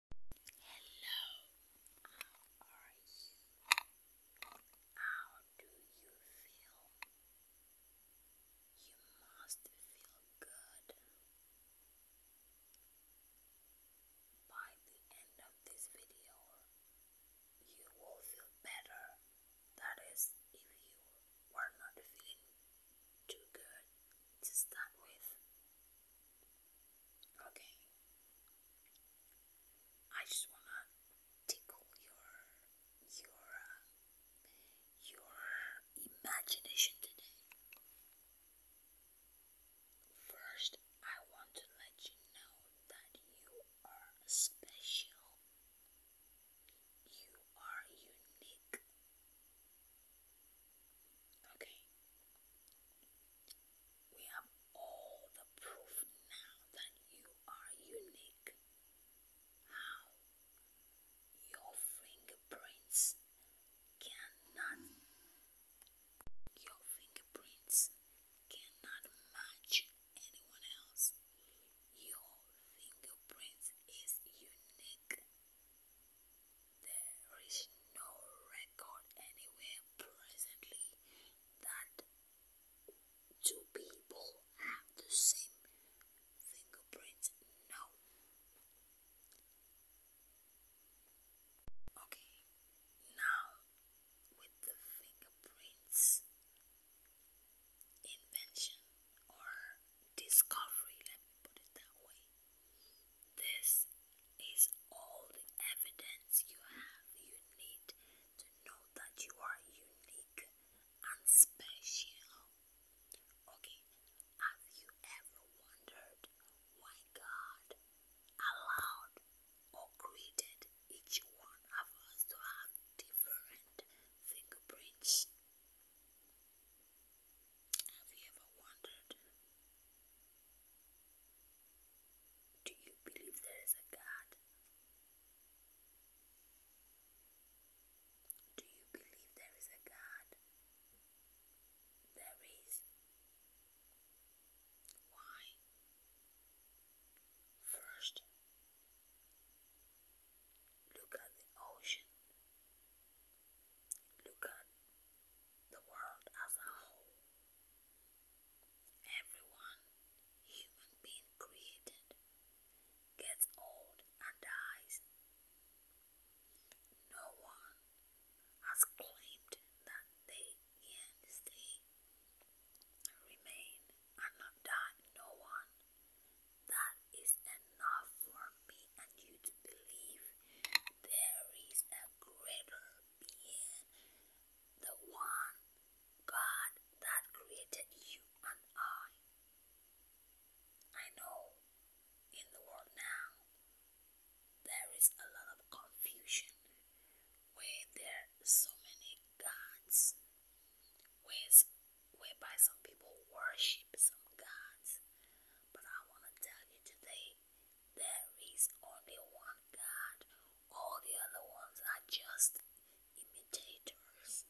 Hello, how are you? How do you feel? You must feel good. By the end of this video, you will feel better. That is, if you were not feeling too good to start with. Okay. I just wanna tickle your your uh, your imagination today. First, I want to let you know that you are special. You are unique. Okay. We have all the proof now that you are unique. How? Your fingerprints cannot your fingerprints cannot match anyone else. Your fingerprints is unique there is no record anywhere presently that two people have the same fingerprints now. Okay, now with the fingerprints invention or discovery, let me put it that way. This is all the evidence you have. You need to know that you are unique and special. Okay, have you ever wondered why God allowed or created each one of us to have different fingerprints? Have you ever wondered? Do you believe there is a God? Do you believe there is a God? There is. Why? First, look at the ocean. Look at the world as a whole. Everyone, human being created, gets old and dies. No one has claimed that they can stay, remain, and not die. No one. That is enough for me and you to believe there is creator being, the one God that created you and I. I know in the world now there is a lot of confusion where there are so many gods, where's, whereby some people worship some gods. But I want to tell you today there is only one God. All the other ones are just imitators.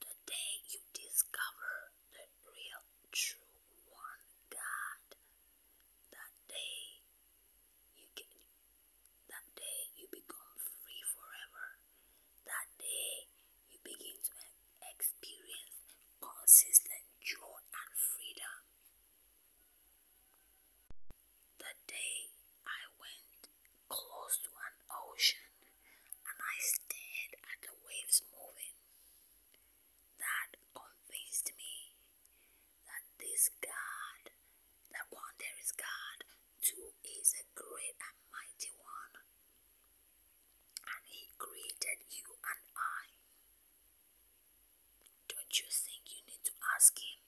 The day you discover the real, true one God, that day you get that day you become free forever. That day you begin to experience consistent joy and freedom. The day I went close to an ocean and I stared at the waves moving, that convinced me that this God, that one there is God, too is a great and mighty one and He created you and I. Don't you think you need to ask Him,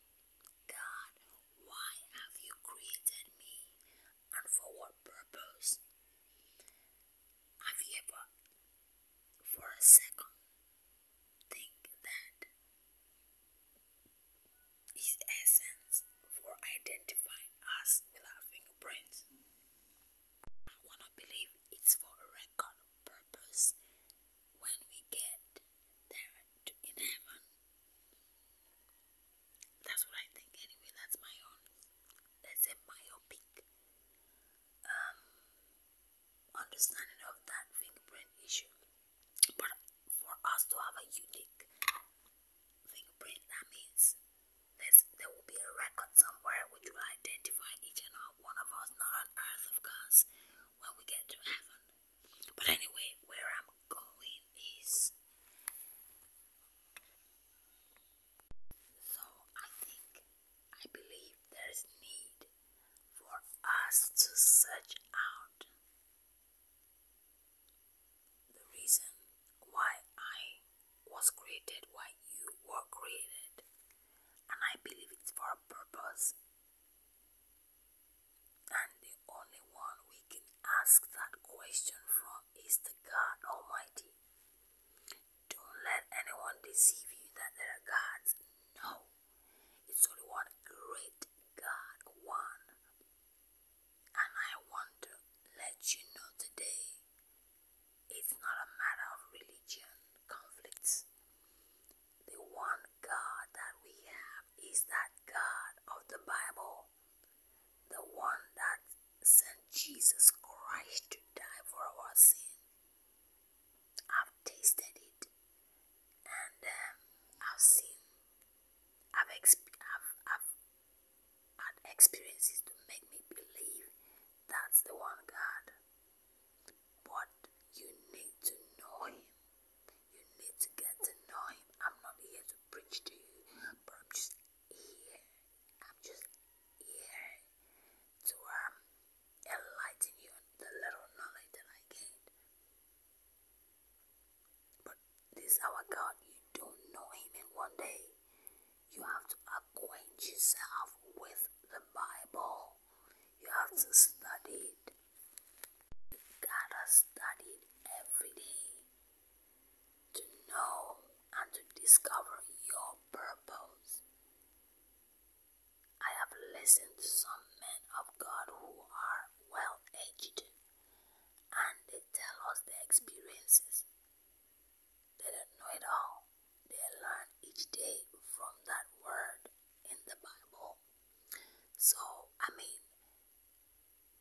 God, why have you created me and for what purpose? Have you ever, for a second, think that His essence for identifying us with our fingerprints I wanna believe it's for a record purpose when we get there in heaven. That's what I think anyway, that's my own let's say myopic um, understanding of that fingerprint issue. But for us to have a unique fingerprint that means there's, there will be a record somewhere which will identify each and all one of us, not on earth, of course, when we get to heaven. But anyway, where I'm going is. So I think, I believe there is need for us to search out the reason why I was created why you were created, and I believe it's for a purpose. And the only one we can ask that question from is the God Almighty. Don't let anyone deceive you that there are gods. No, it's only one great God, one. And I want to let you know today it's not a matter of religion conflicts. The one God that we have is that God of the Bible, the one that sent Jesus Christ to die for our sin. I've tasted it and um, I've seen, I've, I've, I've and experiences to make me believe that's the one God. But you need to know Him. You need to get to know Him. I'm not here to preach to you, but I'm just here. I'm just here to um, enlighten you the little knowledge that I gained. But this our God. You don't know Him, and one day you have to acquaint yourself with the Bible. You have to study it. You gotta study it every day to know and to discover your purpose. I have listened to some men of God who are well aged and they tell us their experiences. They don't know it all. They learn each day from that word in the Bible. So, I mean,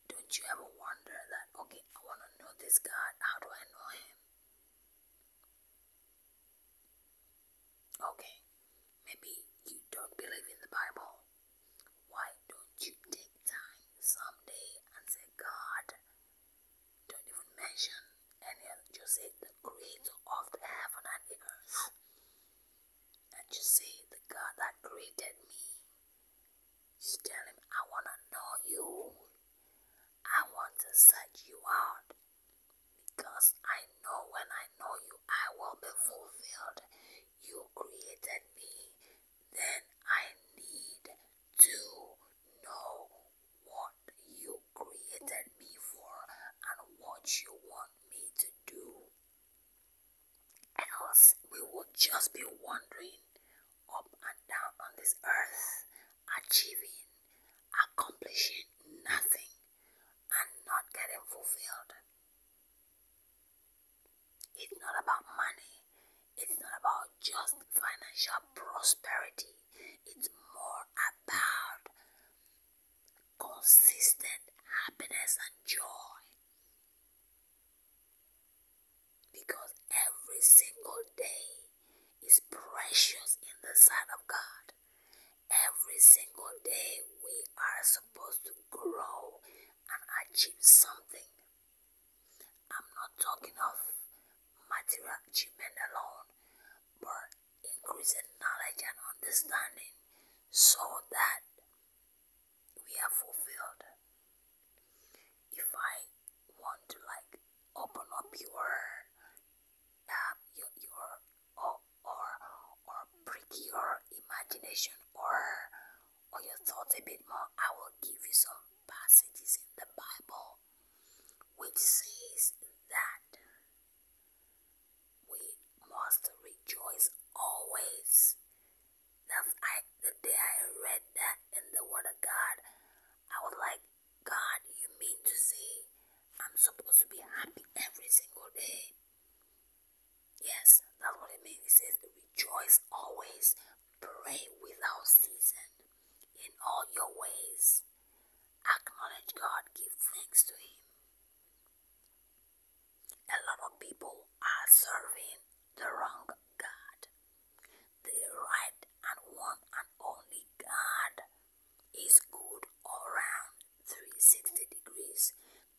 don't you ever wonder that, okay, I want to know this God. How do I know him? Okay, maybe you don't believe in the Bible. Why don't you take time someday and say, God, don't even mention any other, say the creator of the heaven and the earth. And just say the God that created me. Just tell him, I want to know you. I want to search you out. Because I know when I know you, I will be fulfilled. You created me. Then I need to know what you created me for and what you want me to do. Else, we would just be wandering up and down on this earth, achieving, accomplishing nothing, and not getting fulfilled. It's not about money, it's not about just financial prosperity, it's more about consistent happiness and joy. Because every single day is precious in the sight of God. Every single day we are supposed to grow and achieve something. I'm not talking of material achievement alone, but increase in knowledge and understanding so that we are fulfilled. If I want to like open up your uh, your or, or or break your imagination or or your thoughts a bit more, I will give you some passages in the Bible which says that we must rejoice always. That's I the day I read that in the Word of God. I was like, God, you mean to say I'm supposed to be happy every single day? Yes, that's what it means. It says rejoice always, pray without ceasing. In all your ways, acknowledge God, give thanks to Him. A lot of people are serving the wrong God, the right and one and only God is good all round 360 degrees.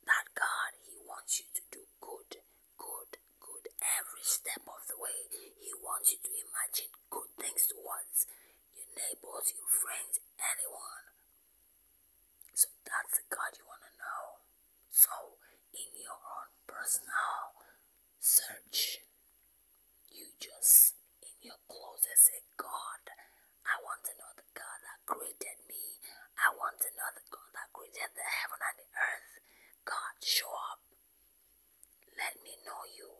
That God, He wants you to do good, good, good every step of the way. He wants you to imagine good things towards your neighbors, your friends, anyone. So that's the God you want to know. So, in your own personal search, you just in your closet say, God, I want to know the God that created me. I want to know the God that created the heaven and the earth. God, show up. Let me know you.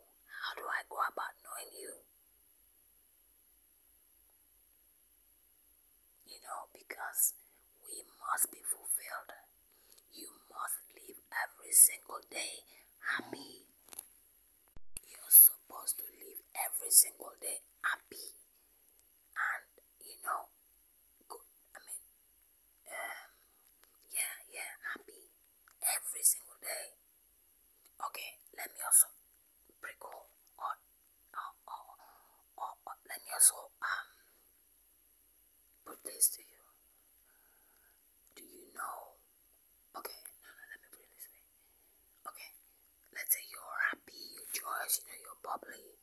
How do I go about knowing you? You know, because we must be fulfilled. You must live every single day happy. You're supposed to live every single day happy and, you know, good. I um, yeah, yeah, happy every single day. Okay, let me also break home or, or, or, or, let me also um put this to you. Do you know? Okay, no, no, let me put this way. Okay, let's say you're happy, you're joyous, you know, you're bubbly,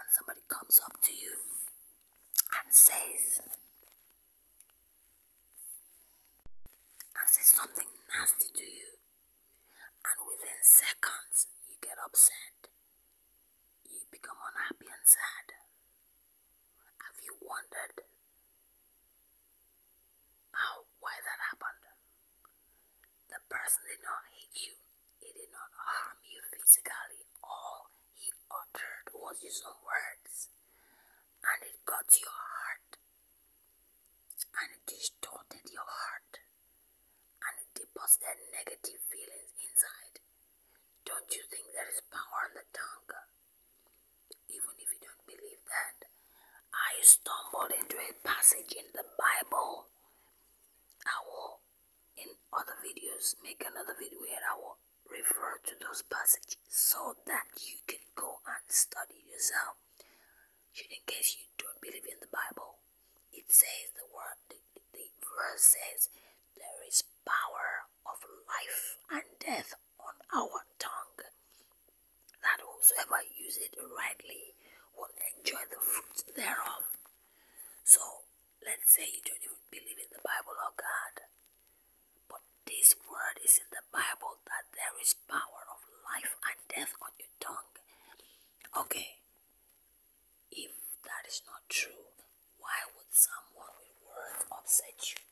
and somebody comes up to you and says and says something nasty to you and within seconds you get upset you become unhappy and sad have you wondered how why that happened the person did not hate you it did not harm you physically all he uttered all his own words, and it got to your heart, and it distorted your heart, and it deposited negative feelings inside. Don't you think there is power in the tongue? Even if you don't believe that, I stumbled into a passage in the Bible. I will, in other videos, make another video where I will refer to those passages so that you can go and study yourself. Should in case you don't believe in the Bible, it says the word, the, the verse says, there is power of life and death on our tongue. That whosoever uses it rightly will enjoy the fruits thereof. So Let's say you don't even believe in the Bible or God, but this word is in the Bible that there is power of life and death on your tongue. Okay, if that is not true, why would someone with words upset you?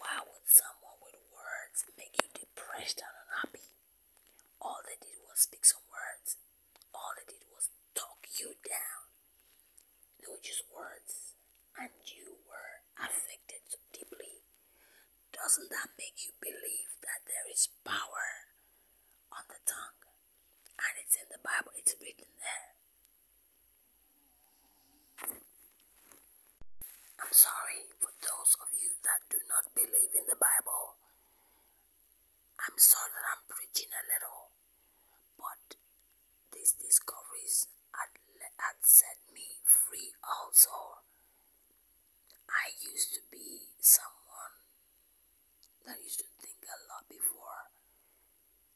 Why would someone with words make you depressed and unhappy? All they did was speak some words. All they did was talk you down. Those just words, and you were affected so deeply. Doesn't that make you believe that there is power on the tongue? And it's in the Bible, it's written there. I'm sorry for those of you that do not believe in the Bible. I'm sorry that I'm preaching a little. But these discoveries had, had set me free also. I used to be someone that used to think a lot before.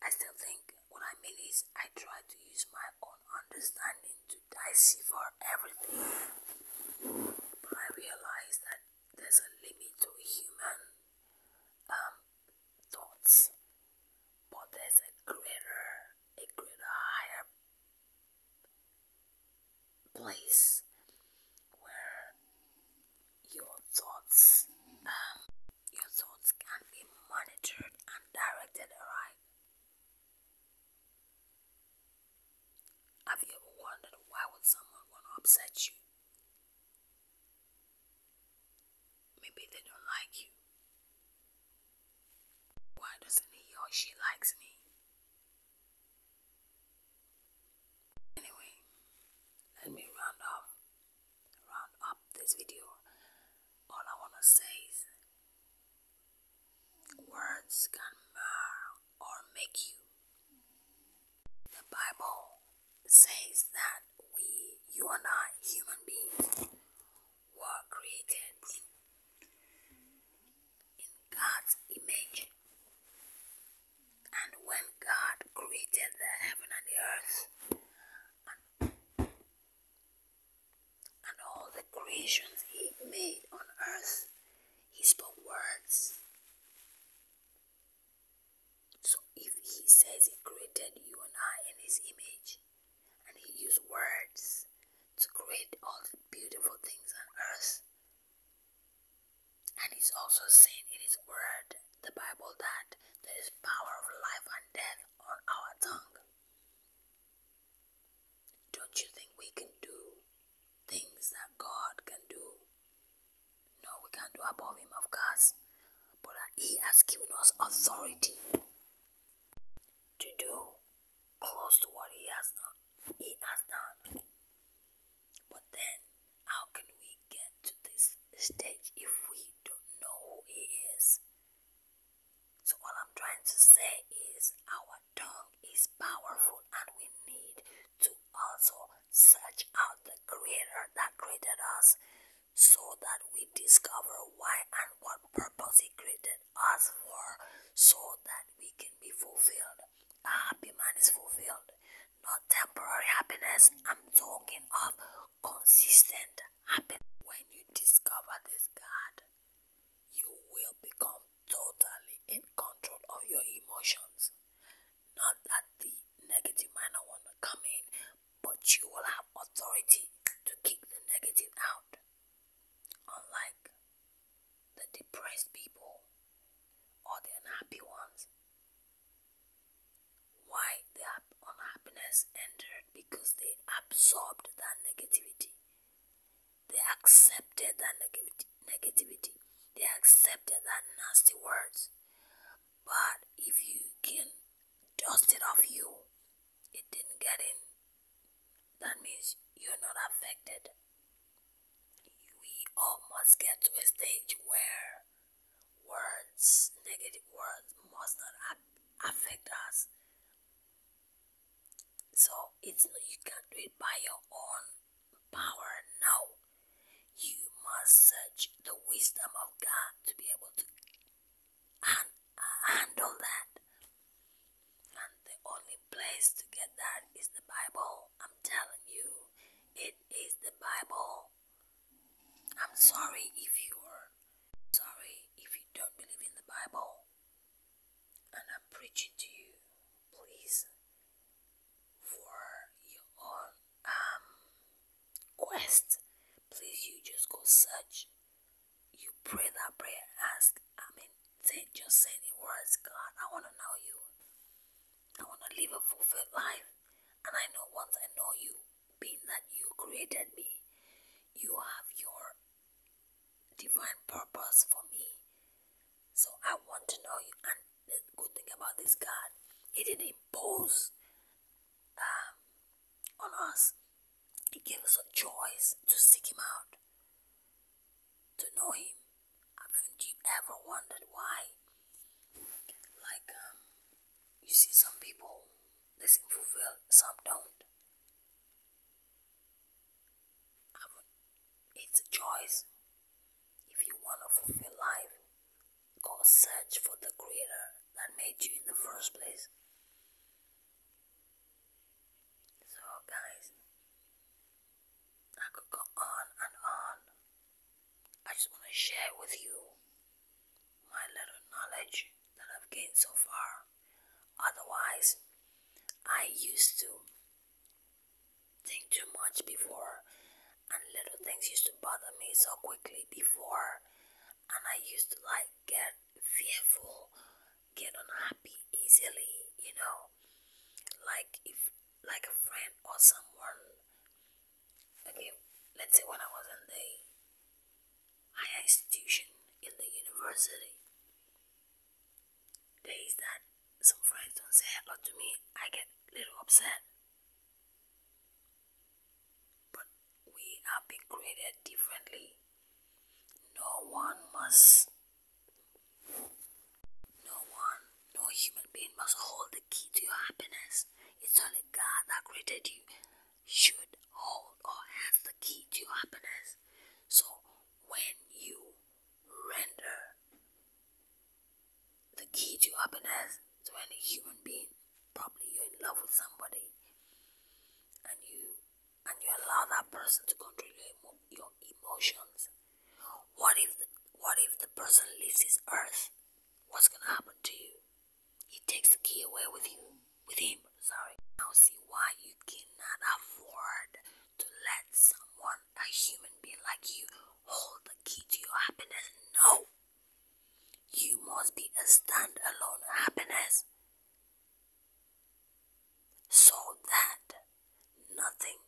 I still think what I mean is I try to use my own understanding to decipher everything. But I realize that there's a limit to human um, thoughts, but there's a greater, a greater higher place where your thoughts, um, your thoughts can be monitored and directed right. Have you ever wondered why would someone want to upset you? Maybe they don't like you. Why doesn't he or she likes me? Anyway, let me round up round up this video. All I wanna say is words can mar or make you. The Bible says that we, you and I, human beings, were created in, God's image. And when God created the heaven and the earth and all the creations He made on earth, He spoke words so if he says he created you and I in his image, and he used words to create all the beautiful things on earth, and he's also saying in his word, the Bible, that there is power of life and death on our tongue. Don't you think we can do things that God can do no, we can't do above him, of course. But uh, he has given us authority to do close to what he has done. He has done. But then, how can we get to this stage if we don't know who he is? So all I'm trying to say is our tongue is powerful and we need to also search out the creator that created us so that we discover why and what purpose He created us for, so that we can be fulfilled. A happy man is fulfilled, not temporary happiness. I'm talking of consistent happiness. When you discover this God, you will become totally in control of your emotions. Not that the negative minor one will come in, but you will have authority to kick the negative out. Unlike the depressed people or the unhappy ones. Why the unhappiness entered? Because they absorbed that negativity. They accepted that negativity. They accepted that nasty words but if you can dust it off you, it didn't get in. That means you're not affected. We all must get to a stage where words, negative words, must not affect us. So it's you can do it by your own power. now. You must search the wisdom of God to be able to handle that. And the only place to get that is the Bible. I'm telling you, it is the Bible. I'm sorry if you're sorry if you don't believe in the Bible. And I'm preaching to you, please, for your um quest please you just go search you pray that prayer ask i mean just say the words god i want to know you i want to live a fulfilled life and i know once i know you being that you created me you have your divine purpose for me so i want to know you and the good thing about this God, He didn't impose um, on us. He gave us a choice to seek Him out, to know Him. Haven't you ever wondered why? Like, um, you see, some people they seem some don't. It's a choice. If you want to fulfill life, Go search for the creator that made you in the first place. So, guys, I could go on and on. I just want to share with you my little knowledge that I've gained so far. Otherwise, I used to think too much before and little things used to bother me so quickly before and I used to like get fearful, get unhappy easily, you know. Like if like a friend or someone okay, let's say when I was in the higher institution in the university days that some friends don't say hello to me, I get a little upset. But we are being created differently. No one must, no one, no human being must hold the key to your happiness. It's only God that created you should hold or has the key to your happiness. So when you render the key to happiness to any human being. Probably you're in love with somebody, and you and you allow that person to control your, your emotions. What if the, what if the person leaves this earth? What's gonna happen to you? He takes the key away with you, with him. Sorry. Now see why you cannot afford to let someone, a human being like you, hold the key to your happiness. No. You must be a standalone happiness so that nothing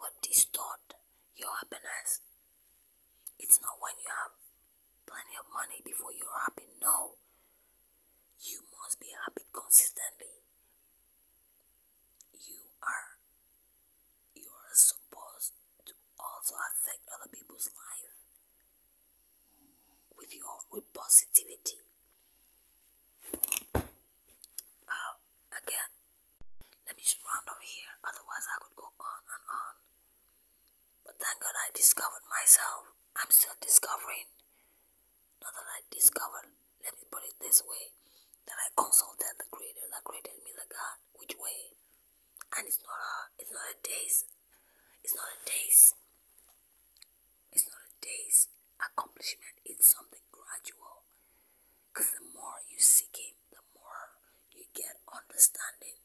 would distort your happiness. It's not when you have plenty of money before you're happy. No, you must be happy consistently. You are, you are supposed to also affect other people's life with your with positivity. Uh, again, let me just round off here, otherwise I could go on and on. But thank God I discovered myself. I'm still discovering. Not that I discovered, let me put it this way, that I consulted the Creator that created me, the God which way and it's not a it's not a day's it's not a day's it's not a day's accomplishment it's something gradual because the more you seek him the more you get understanding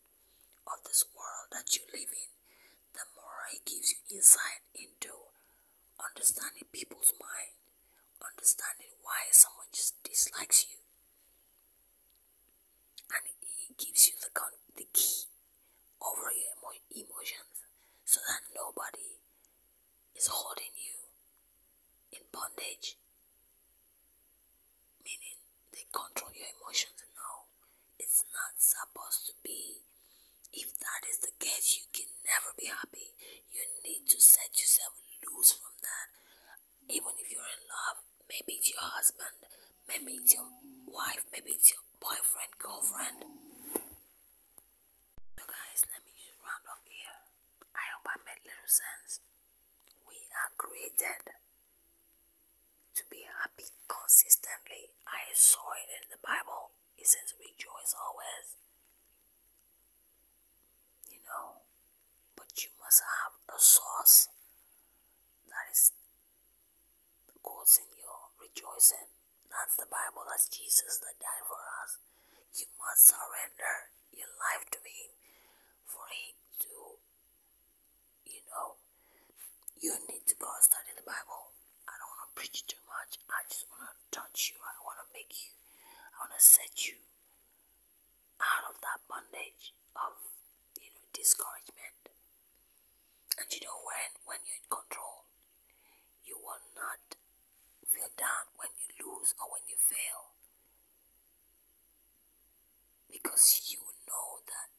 of this world that you live in the more he gives you insight into understanding people's mind understanding why someone just dislikes you and it gives you the, the key over your emotions so that nobody is holding you in bondage meaning they control your emotions Now it's not supposed to be if that is the case you can never be happy you need to set yourself loose from that even if you're in love, maybe it's your husband, maybe it's your wife, maybe it's your boyfriend, girlfriend. So, guys, let me round up here. I hope I made little sense. We are created to be happy consistently. I saw it in the Bible. It says, Rejoice always you know, but you must have a source that is causing your rejoicing. That's the Bible, that's Jesus that died for us. You must surrender your life to Him for Him to, you know, you need to go and study the Bible. I don't want to preach too much. I just want to touch you. I want to make you. I want to set you out of that bondage of you know discouragement. And you know when when you're in control, you will not feel down when you lose or when you fail. Because you know that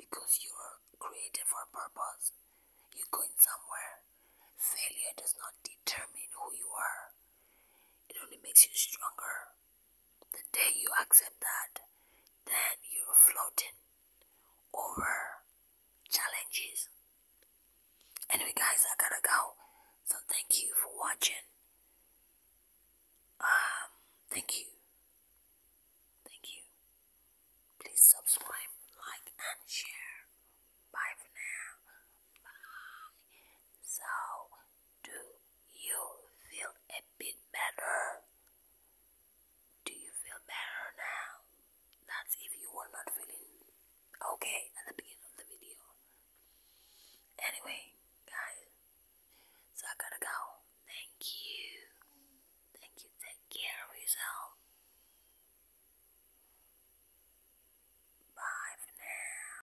because you're created for a purpose, you're going somewhere. Failure does not determine who you are. It only makes you stronger. The day you accept that, then you're floating over challenges. Anyway, guys, I gotta go. So thank you for watching. Um, thank you. Thank you. Please subscribe, like, and share. Bye for now. Bye. So. Do you feel a bit better? Do you feel better now? That's if you were not feeling okay at the beginning of the video. Anyway, guys, so I gotta go. Thank you. Thank you. Take care of yourself. Bye now.